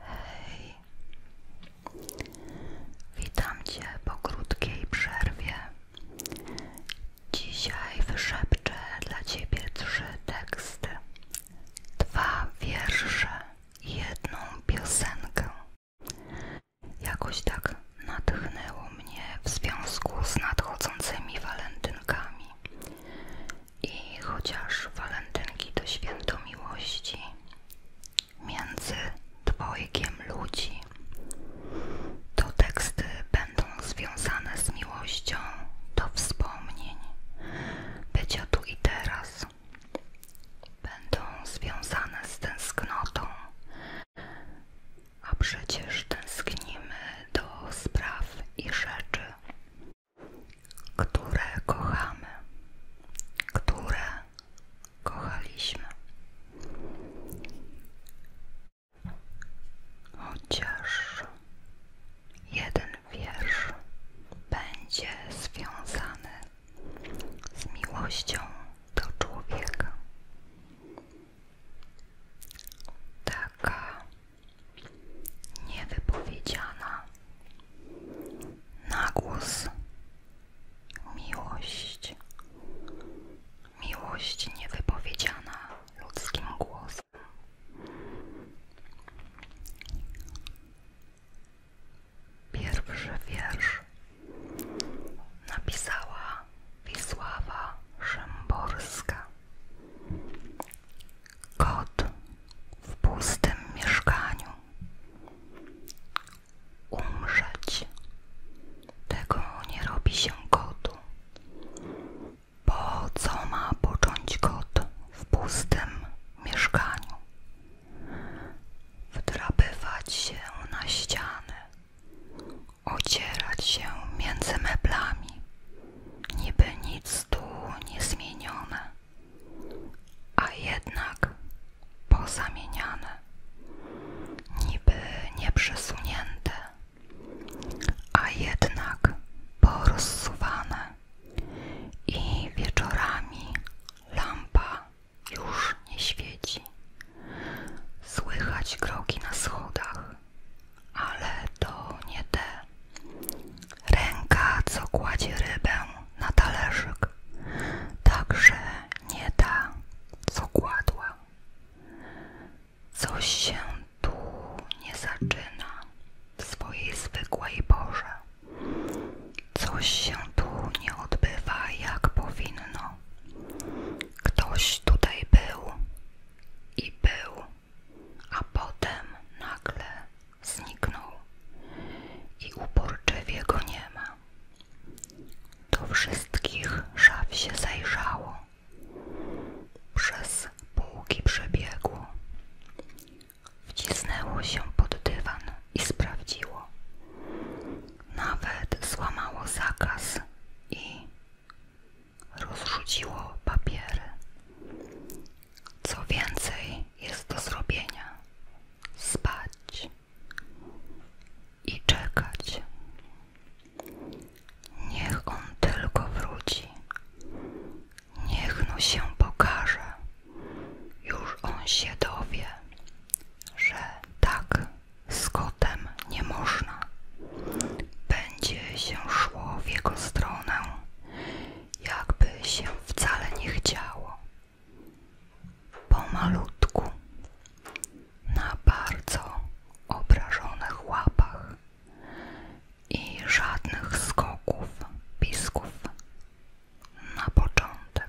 Hej, witam Cię po krótkiej przerwie. Dzisiaj wyszepczę dla Ciebie trzy teksty, dwa wiersze i jedną piosenkę. Jakoś tak natchnęło mnie w związku z nadchodzącymi walentynkami. I chociaż walentynki to święto miłości między dwojgiem ludzi, to teksty będą związane z miłością do wspomnień, bycia tu i teraz. Będą związane z tęsknotą a przecież tęsknimy do spraw i rzeczy, które kochamy, które kochaliśmy. Chociaż jeden wiersz będzie związany z miłością do człowieka. Taka niewypowiedziana na głos miłość. Miłość niewypowiedziana ludzkim głosem. Pierwszy wiersz napisała Wisława Szymborska. Kot w pustym mieszkaniu. Umrzeć. Tego nie robi się kotu. Po co ma począć kot w pustym mieszkaniu? wdrabywać się na ściany, ocierać się między meblami, niby nic tu nie zmienione, a jednak pozamieniane, niby nieprzesunięte, a jednak porozsuwane i wieczorami lampa już nie świeci. Słychać kroki na schodach, ale to nie te. Ręka, co kładzie rybę na talerzyk, także nie ta, co kładła. Coś się tu nie zaczyna w swojej zwykłej porze. Coś się tu nie odbywa jak powinno. Ktoś tutaj był i był, a potem nagle zniknął i uporczywie go nie ma. Do wszystkich szaf się zajrzało. Przez półki przebiegło. Wcisnęło się pod dywan i sprawdziło nawet złamało zakaz i rozrzuciło papiery. Co więcej jest do zrobienia: spać i czekać. Niech on tylko wróci. Niech no się pokaże. Już on się dowie, że tak z kotem nie można. Będzie się szło w jego stronę, jakby się wcale nie chciało. Pomalutku, na bardzo obrażonych łapach i żadnych skoków, pisków na początek.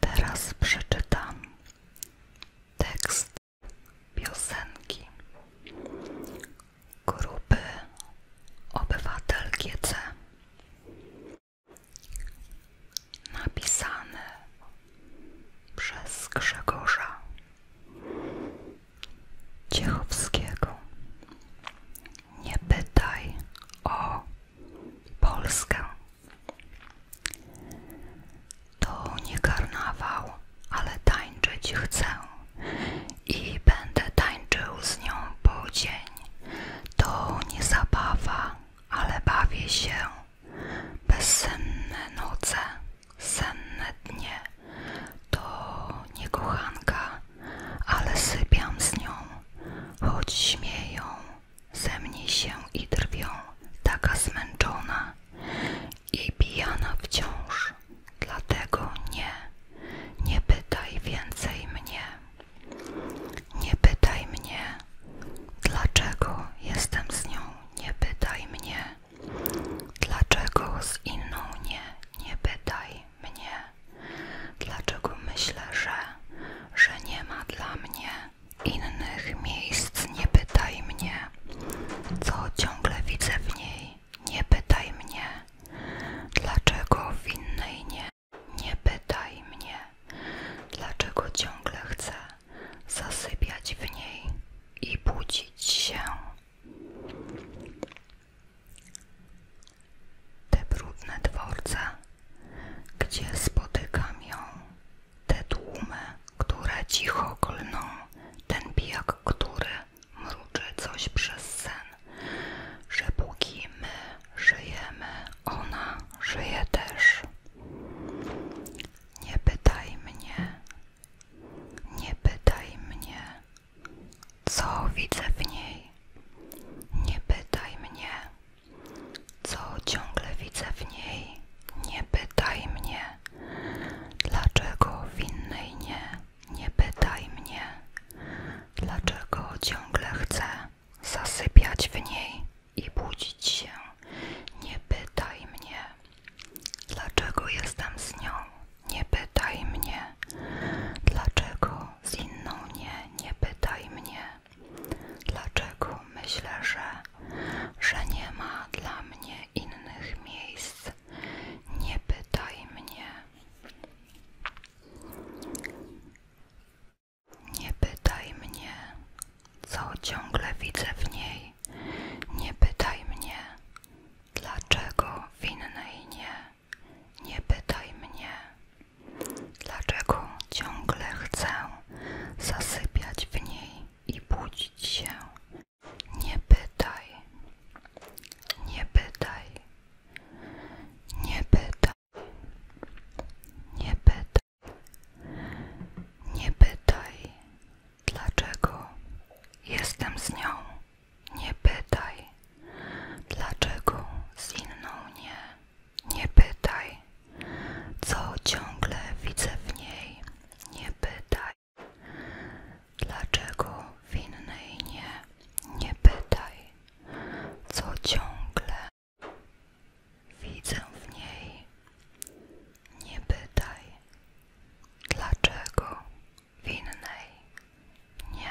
Teraz przeczytam tekst piosenki grupy Obywatel GC napisany przez Grzegorza Ciechowskiego. Nie pytaj o Polskę. To nie karnawał, ale tańczyć chcę i będę tańczył z nią po dzień. To nie zabawa, ale bawię się. Bezsenne noce senne dnie to nie kochanka, ale sypiam z nią, choć śmieją ze mnie się i drwią, taka zmęczona i pijana wciąż, dlatego nie, nie pytaj więcej mnie, nie pytaj mnie, dlaczego jestem z nią, nie pytaj mnie, Dlaczego z inną nie, nie pytaj mnie? Dlaczego myślę, że, że nie ma dla mnie innych miejsc? Nie pytaj mnie, co ciągle widzę w niej? Nie pytaj mnie, dlaczego w innej nie? Nie pytaj mnie, dlaczego ciągle chcę zasypiać w niej i budzić się te brudne dworce, gdzie spotykam ją, te tłumy, które cicho klną, ten pijak, który mruczy coś przez sen, że póki my żyjemy, ona żyje też. Nie pytaj mnie, nie pytaj mnie, co widzę w niej. Nie pytaj mnie, co ciągle widzę w niej. Nie pytaj mnie, dlaczego w innej nie. Nie pytaj mnie, dlaczego ciągle chcę zasypiać w niej i budzić się. Nie pytaj mnie, Dlaczego jestem z nią? Nie pytaj mnie. Dlaczego z inną nie? Nie pytaj mnie. Dlaczego myślę, że, że nie ma dla mnie innych miejsc? Nie pytaj mnie. Nie pytaj mnie, co ciągle widzę w niej. Nie pytaj mnie, Dlaczego winnej nie? Nie pytaj mnie. Dlaczego ciągle chcę zasypiać w niej i budzić się? Nie pytaj. Nie pytaj. Nie pytaj. Nie pytaj. Nie pytaj. Dlaczego jestem z nią? Nie pytaj. Dlaczego z inną nie? Nie pytaj. Co ciągle widzę w niej? Nie pytaj. Dlaczego w innej nie? Nie pytaj. Co ciągle widzę w niej? Nie pytaj, dlaczego winnej nie.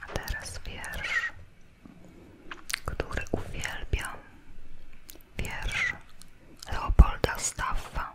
A teraz wiersz, który uwielbiam. Wiersz Leopolda Staffa.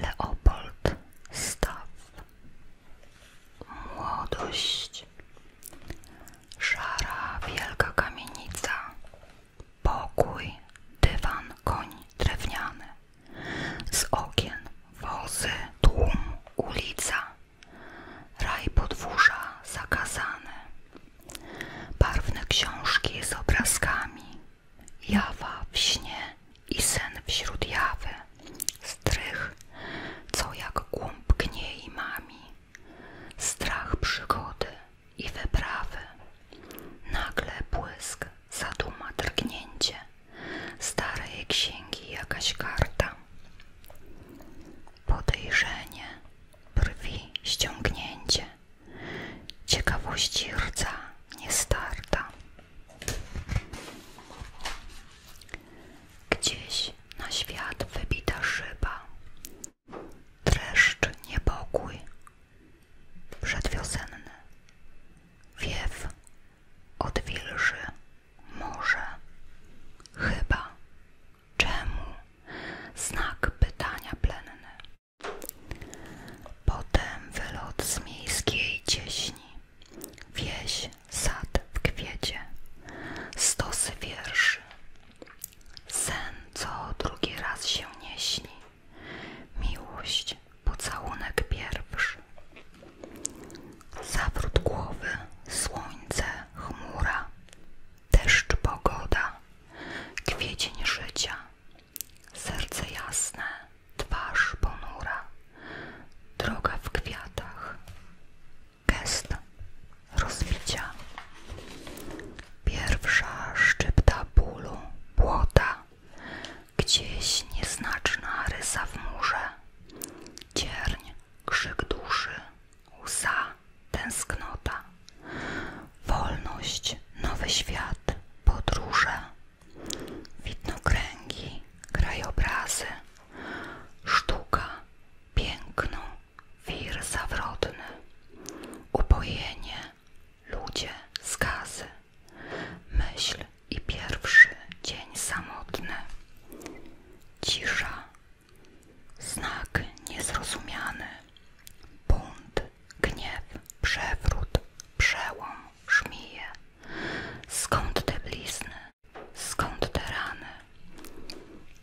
Leopold Staw Młodość szara, wielka kamienica, pokój, dywan, koń drewniany, z okien, wozy, tłum, ulica, raj podwórza zakazany, barwne książki z obrazkami, jawa w śnie i sen wśród jawy, strych, co jak głąb gniei mami, strach przygody i wyprawy. Nagle błysk, zaduma, drgnięcie, starej księgi jakaś karta. Podejrzenie, brwi, ściągnięcie, ciekawość rdza, niestarta. Gdzieś na świat wybita szyba, dreszcz, niepokój, przedwiosenny, wiew, odwilży, może, chyba, czemu, znak pytania plenny. Potem wylot z miejskiej cieśni, wieś, sad w kwiecie, stosy wierszy, Sen, co drugi raz się nie śni. Miłość, pocałunek pierwszy. Zawrót głowy, słońce, chmura, deszcz, pogoda, kwiecień życia, serce jasne, twarz ponura, droga w kwiatach gest rozbicia. Pierwsza szczypta bólu, błota, gdzieś nieznaczna rysa w murze, cierń, krzyk duszy, łza, tęsknota, wolność, nowy świat, podróże, widnokręgi, krajobrazy, sztuka, piękno, wir zawrotny, upojenie, ludzie, skazy, myśl i pierwszy dzień samotny, cisza, znak niezrozumiany, bunt, gniew, przewrót, przełom, żmije, skąd te blizny, Skąd te rany?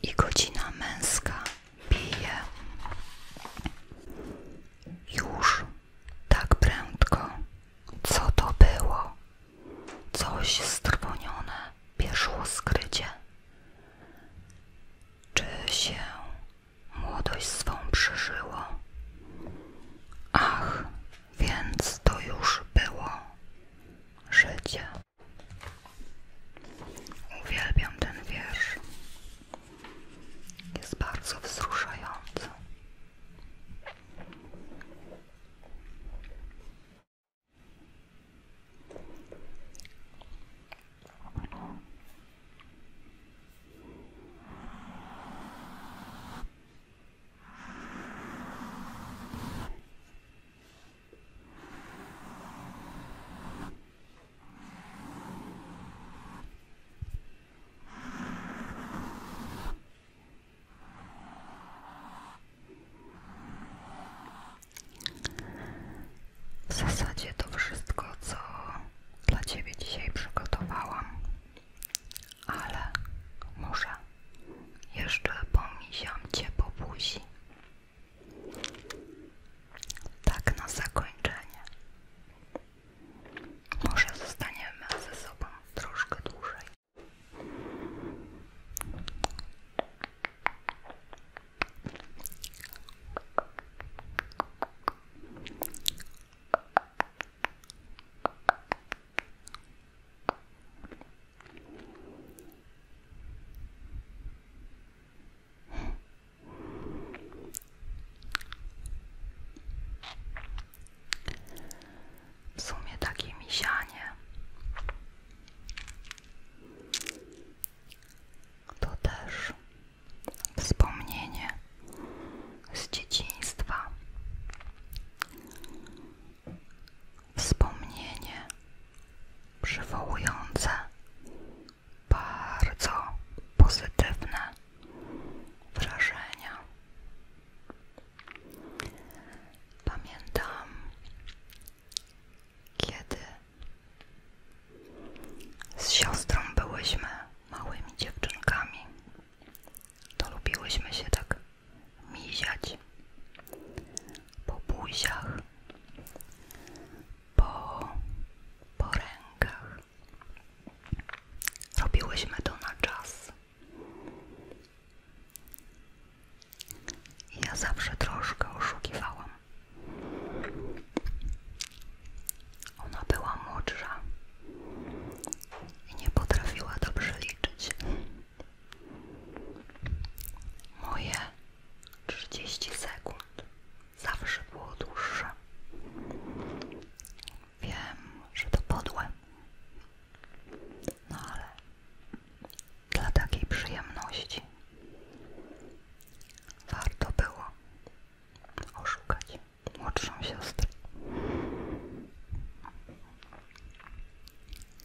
I godzina męska bije. Już tak prędko. Co to było? Coś strwonione pieszło skrycie. Czy się młodość swą przeżyło? Ach, więc to już było życie. Uwielbiam ten wiersz. Jest bardzo wzruszający. W zasadzie to wszystko, co dla Ciebie dzisiaj przygotowałam, ale muszę jeszcze pomisiam Cię po buzi tak na zakończenie. Może zostaniemy ze sobą troszkę dłużej. W sumie takie mieszanie. to też wspomnienie z dzieciństwa wspomnienie przywołujące, bardzo pozytywne wrażenia. Pamiętam, kiedy z siostrą byłyśmy małymi dziewczynkami, to lubiłyśmy się tak miziać po buziach, po, po rękach. Robiłyśmy to na czas. Ja zawsze troszkę oszukiwałam. Ona była młodsza i nie potrafiła dobrze liczyć. Moje trzydzieści sekund zawsze było dłuższe. Wiem, że to podłe, no ale dla takiej przyjemności warto było oszukać młodszą siostrę.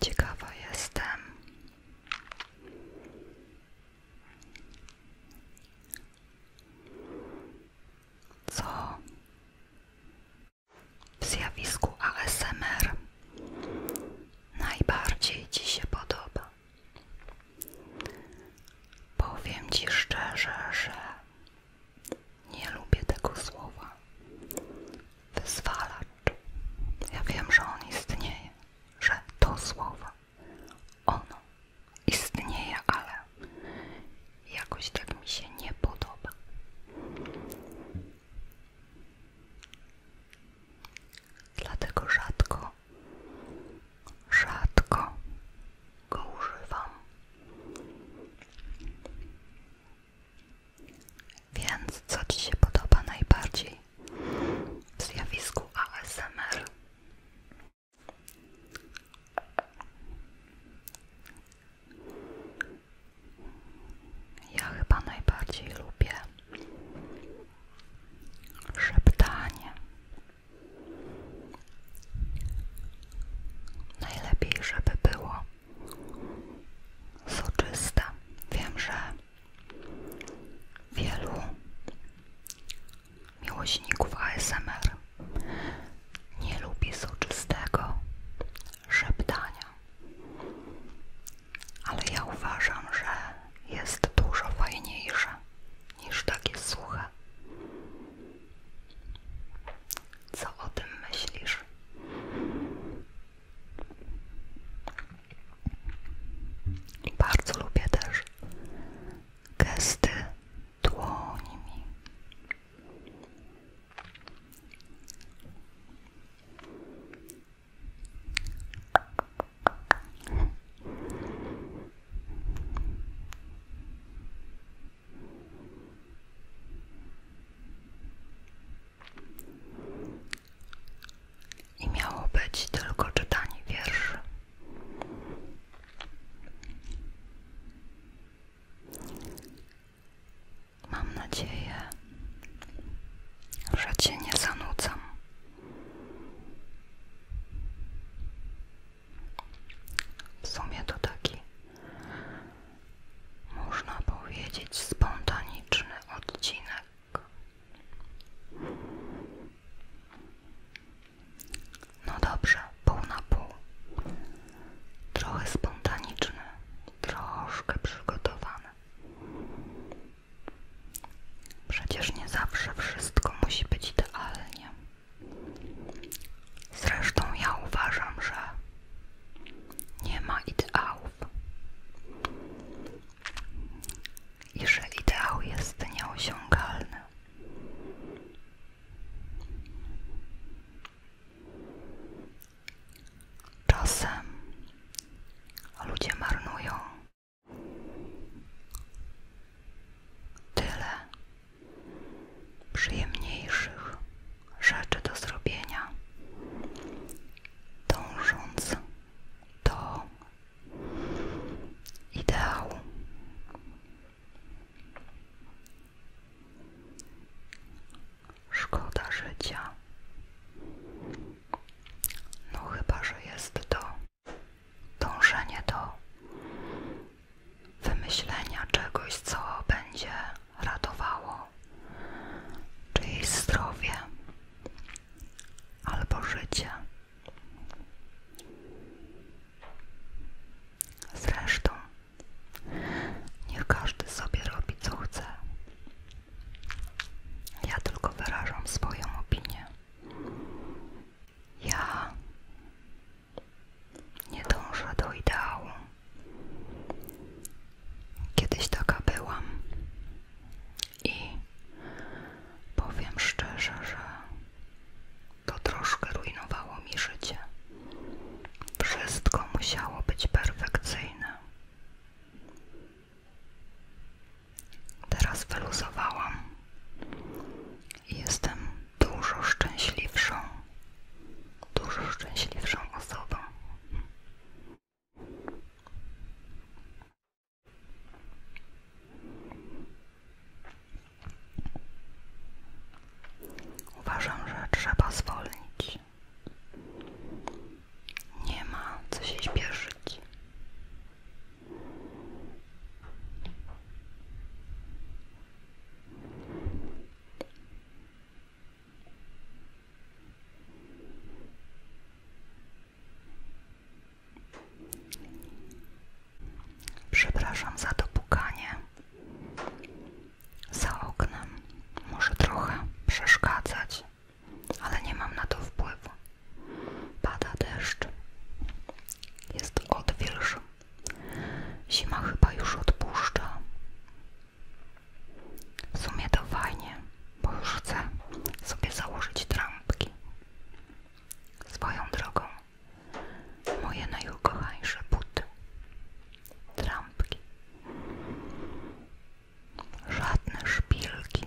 Ciekawa jestem. Co w zjawisku ASMR najbardziej Ci się podoba? Powiem Ci szczerze, że nie lubię tego słowa. Wyzwalacz. Ja wiem, że on istnieje że to słowo, ono istnieje, ale jakoś tak mi się nie podoba. Dlatego rzadko, rzadko go używam. Więc co Ci się podoba najbardziej? zjawisku ASMR. Ja chyba najbardziej lubię szeptanie. Najlepiej, żeby było soczyste. Wiem, że wielu miłośników ASMR nie lubi soczystego szeptania, ale ja uważam, że jest dużo fajniejsze niż takie suche. Co o tym myślisz? I bardzo lubię też gesty dłońmi. I miało być tylko czytanie wierszy. Mam nadzieję, że Cię nie zanudzam. W sumie to taki, można powiedzieć, spontaniczny odcinek. No dobrze, pół na pół. Trochę spontaniczny, troszkę przygotowany. Przecież nie zawsze wszystko musi być idealnie. Zresztą ja uważam, że nie ma ideałów. I że ideał jest nieosiągalny. Czasem ludzie marnują tyle przyjemniejszych rzeczy do zrobienia, dążąc do ideału. Szkoda życia. No chyba, że jest to dążenie do wymyślenia czegoś, co będzie ratowało czyjeś zdrowie albo życie. Zresztą, niech każdy sobie robi co chce. Ja tylko wyrażam swoją opinię. Ja nie dążę do ideału. Kiedyś taka byłam i powiem szczerze, że to troszkę rujnowało mi życie. Wszystko musiało być perfekcyjne. Teraz feluzowałam. i jestem dużo szczęśliwszą, dużo szczęśliwszą osobą. Uważam, że trzeba zwolnić. Nie ma co się śpieszyć. Przepraszam za to pukanie. Za oknem może trochę przeszkadzać, ale nie mam na to wpływu. Pada deszcz. Jest odwilż. Zima chyba już odpuszcza. W sumie to fajnie, bo już chcę sobie założyć trampki. Swoją drogą, moje najukochańsze buty. Trampki. Żadne szpilki.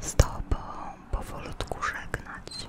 z Tobą powolutku żegnać.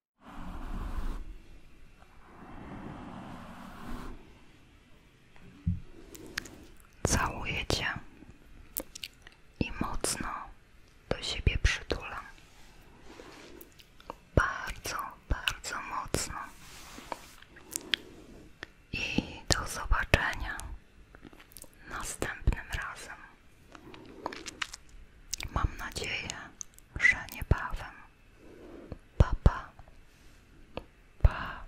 Całuję cię i mocno do siebie przytulam. Bardzo, bardzo mocno. I do zobaczenia następnym razem. Mam nadzieję, że niebawem. Pa, pa. pa.